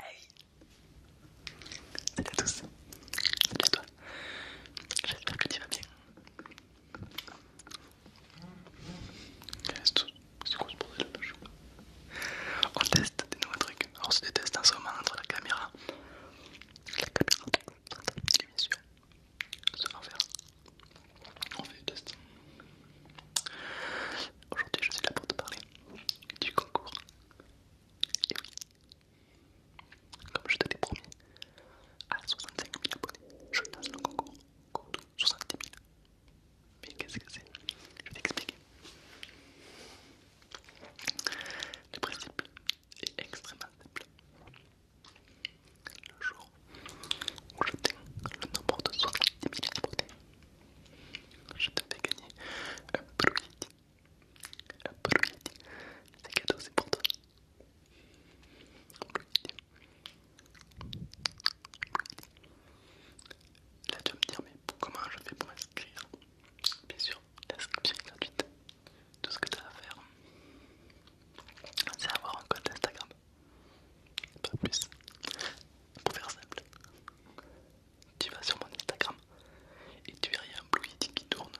Hey eh Salut à tous Salut à toi J'espère que tu vas bien Reste c'est quoi ce bordel On teste des nouveaux trucs. Alors, c'est des tests en ce moment entre la caméra, la caméra et bien sûr On fait des tests. Aujourd'hui, je suis là pour te parler du concours. Et oui, comme je te l'ai promis, à 65 000 abonnés, je lance le Concours 70 000. Mais qu'est-ce que c'est Je vais t'expliquer. Le principe est extrêmement simple. Le jour où j'atteins le nombre de 70 000 abonnés, je te fais gagner un produit. Un produit, c'est cadeau, c'est pour toi. Un Là tu vas me dire mais comment je fais pour m'inscrire Bien sûr, l'inscription est gratuite. Tout ce que tu as à faire, c'est avoir un code Instagram. Pas plus. Pour faire simple, tu vas sur mon Instagram et tu verras un blue yeti qui tourne.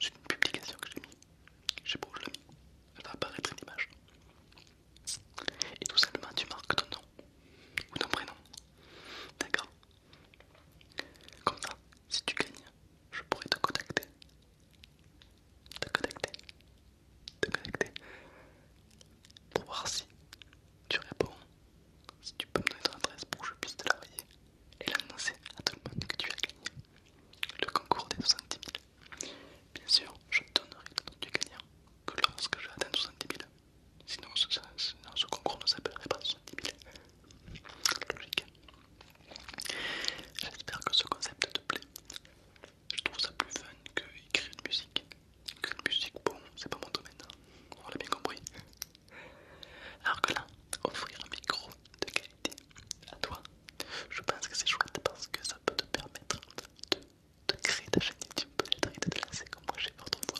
C'est une publication que j'ai mis. Je sais pas où je l'ai mis. Elle va apparaître une image. Et tout simplement, tu marques ton nom ou ton prénom. D'accord Comme ça, si tu gagnes, je pourrai te contacter. Te contacter. Te contacter. Pour voir si tu réponds. Si tu peux me donner ton adresse pour que je puisse te l'envoyer et l'annoncer à tout le monde que tu as gagné. Le concours des 70 000. Bien sûr, je donnerai le nom du gagnant que lorsque j'ai 60 000. Sinon ce, concours ne s'appellerait pas 70 000. Logique. J'espère que ce concept te plaît. Je trouve ça plus fun que écrire une musique. Écrire une musique, bon, c'est pas mon domaine. Hein. On l'a bien compris. Alors que là, offrir un micro de qualité à toi, je pense que c'est chouette parce que ça peut te permettre de, créer ta chaîne YouTube et de te lancer comme moi j'ai fait autrefois.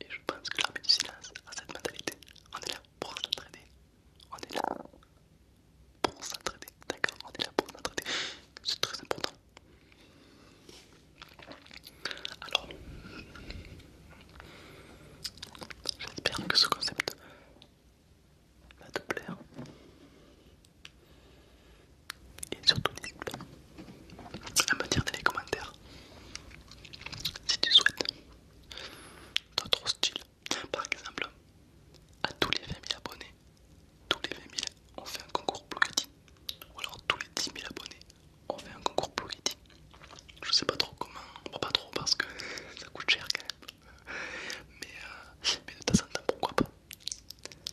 Et je pense que l'armée du silence a cette mentalité. On est là pour s'entraider. On est là pour s'entraider. D'accord On est là pour s'entraider. C'est très important. Alors, j'espère que ce concept va te plaire et surtout n'hésite pas à me dire dans les commentaires si tu souhaites d'autres styles par exemple à tous les 20 000 abonnés tous les 20 000 on fait un concours Blue ou alors tous les 10 000 abonnés on fait un concours Blue je sais pas trop comment on va pas trop parce que ça coûte cher quand même mais, euh, mais de temps en temps, pourquoi pas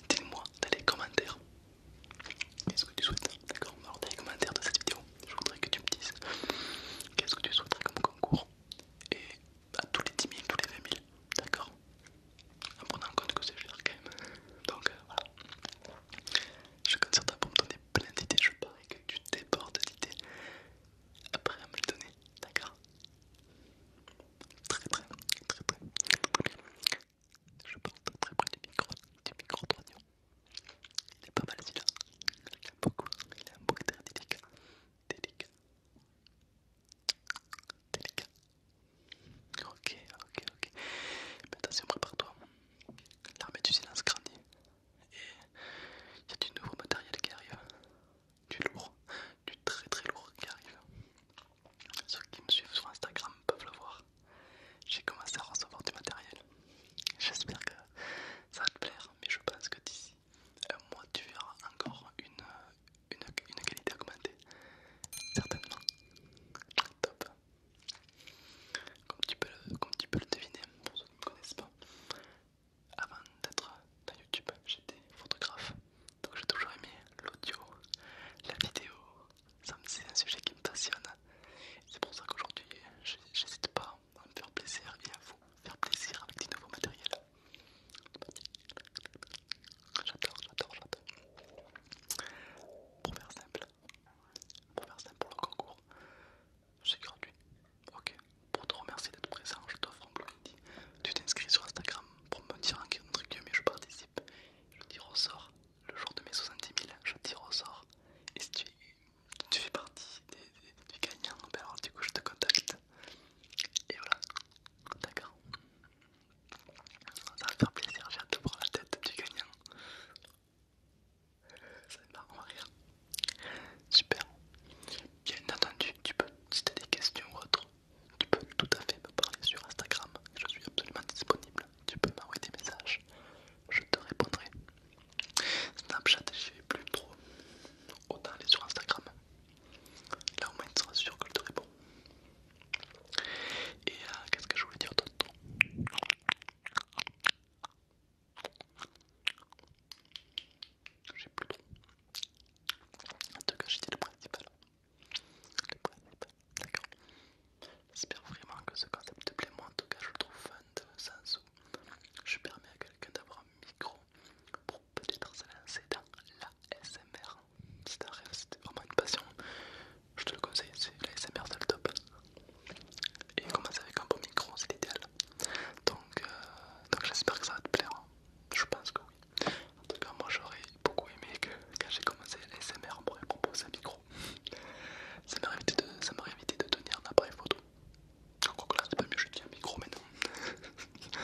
dis moi dans les commentaires qu'est-ce que tu souhaites, d'accord Alors, dans les commentaires de cette vidéo, je voudrais que tu me dises qu'est-ce que tu souhaiterais comme concours et à tous les 10 000, tous les 20 000, d'accord En prenant en compte que c'est cher quand même. Donc euh, voilà. Je compte sur pour me donner plein d'idées. Je parie que tu débordes d'idées après à me le donner, d'accord Très très très très Je porte très près du micro, du micro d'oignon. Il est pas mal celui-là. Il a beaucoup, il a un bruit très délicat. Délicat. Délicat. Ok, ok, ok. Mais attention, prépare-toi. L'armée du silence grandi et il y a du nouveau matériel qui arrive, du lourd, du très très lourd qui arrive. Ceux qui me suivent sur Instagram peuvent le voir. J'ai commencé à recevoir du matériel. J'espère que ça va te plaire, mais je pense que d'ici un mois tu verras encore une, qualité augmentée. Certainement. Top. Comme tu peux comme tu peux le deviner, pour ceux qui ne me connaissent pas, avant d'être dans YouTube, j'étais photographe. Donc j'ai toujours aimé l'audio, la vidéo. C'est un sujet qui me passionne. C'est pour ça qu'aujourd'hui, j'hésite pas à me faire plaisir et à vous faire plaisir avec des nouveaux matériels. J'adore, j'adore, j'adore. Pour faire simple, pour faire ça pour le concours. C'est gratuit. Ok. Pour te remercier d'être présent, je t'offre un blue Tu t'inscris sur Instagram pour me dire en que je participe. Je tire au sort. Le jour de mes 70 000, je tire au sort. Et si tu, fais partie du gagnant, ben alors du coup je te contacte. Et voilà. D'accord. Ça va faire plaisir, j'ai hâte de prendre la tête du gagnant. Ça va rire. Super. Bien entendu, tu peux, si tu as des questions ou autre, tu peux tout à fait me parler sur Instagram. Je suis absolument disponible. Tu peux m'envoyer des messages. Je te répondrai. Snapchat, j'y vais plus trop. Autant aller sur Instagram. Là au moins tu seras sûr que je te réponds. Et euh, qu'est-ce que je voulais dire d'autre j'ai plus En tout cas, j'ai dit le principal. d'accord. J'espère vraiment que ce concept te plaît. Moi, en tout cas, je le trouve fun de sens où je permets à quelqu'un d'avoir un micro pour peut-être se lancer dans la SMR. C'est un rêve, c'était vraiment une passion je te le conseille, c'est l'ASMR, c'est le top. Et commence avec un beau micro, c'est l'idéal. Euh, donc, j'espère que ça va te plaire. Hein. Je pense que oui. En tout cas, moi j'aurais beaucoup aimé que quand j'ai commencé l'ASMR, on pourrait proposer un micro. ça m'aurait évité, de tenir un appareil photo. En que là, c'est pas mieux, je tiens un micro maintenant.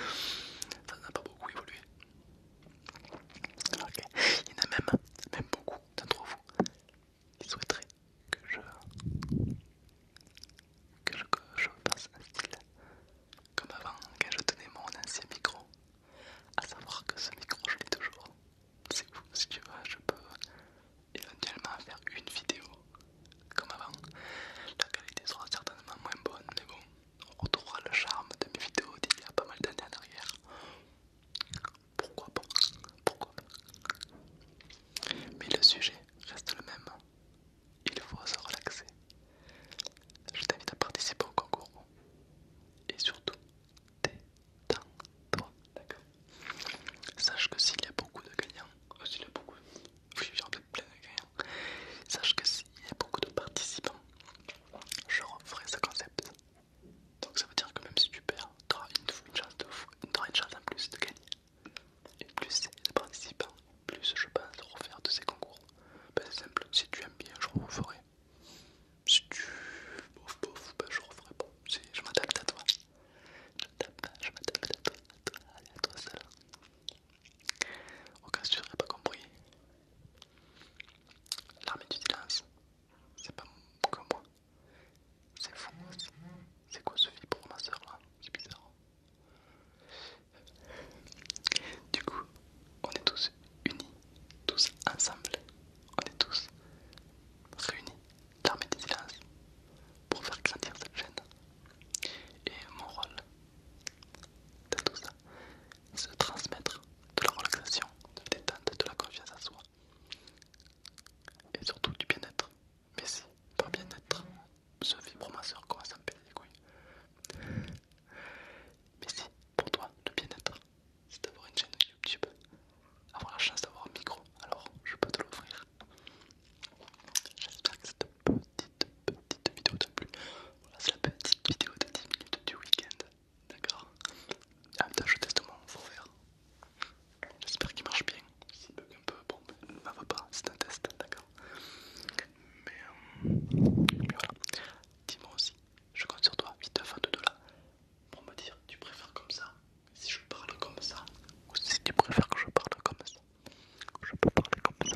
ça n'a pas beaucoup évolué. Ok, Il y en a même, même beaucoup d'entre vous qui souhaiterait que je, je, fasse un style comme avant quand je tenais mon ancien micro. à savoir que ce micro je l'ai toujours. C'est vous, si tu veux, je peux éventuellement faire une vidéo comme avant. La qualité sera certainement moins bonne, mais bon, on retrouvera le charme de mes vidéos d'il y a pas mal d'années en arrière. Pourquoi pas Pourquoi Mais le sujet reste le même. Il faut se relaxer. Je t'invite à participer au concours. Et surtout, détends-toi. D'accord Sache que s'il y a beaucoup de gagnants, euh, s'il y a beaucoup, oui, plein de gagnants. Sache que s'il y a beaucoup de participants, je referai ce concept donc ça veut dire que même si tu perds, tu auras une, chance en plus de gagner. Et plus de participants, plus je pense refaire de ces concours. Ben, c'est simple, si tu aimes bien, je referai. Si tu bof bof, ben, je referai pas. Si, je m'adapte à toi. Je m'adapte à toi, à toi, à toi seul. Au cas où tu n'aurais pas compris, L'armée du silence, c'est pas comme moi. C'est fou C'est quoi ce vibre pour ma soeur là C'est bizarre. Du coup, on est tous unis, tous ensemble. On est tous réunis, l'armée du silence, pour faire grandir cette chaîne. Et mon rôle dans tout ça, se transmettre de la relaxation, de la détente, de la confiance à soi et surtout du bien-être. Mais si, pas bien-être, ce vibromasseur commence à me péter les couilles. Mais si, pour toi, le bien-être, c'est d'avoir une chaîne YouTube, avoir la chance d'avoir un micro, alors je peux te l'offrir. J'espère que ça te petite, petite vidéo de plus. Voilà, c'est la petite vidéo de 10 minutes du week-end. D'accord même ah, temps, je teste mon faut vert. J'espère qu'il marche bien. S'il bug un peu, bon, ben, ça va pas, c'est un test, d'accord euh, mais, voilà. Dis-moi aussi, je compte sur toi, 8 22 là, pour me dire tu préfères comme ça, si je parle comme ça, ou si tu préfères que je parle comme ça. Je peux parler comme ça,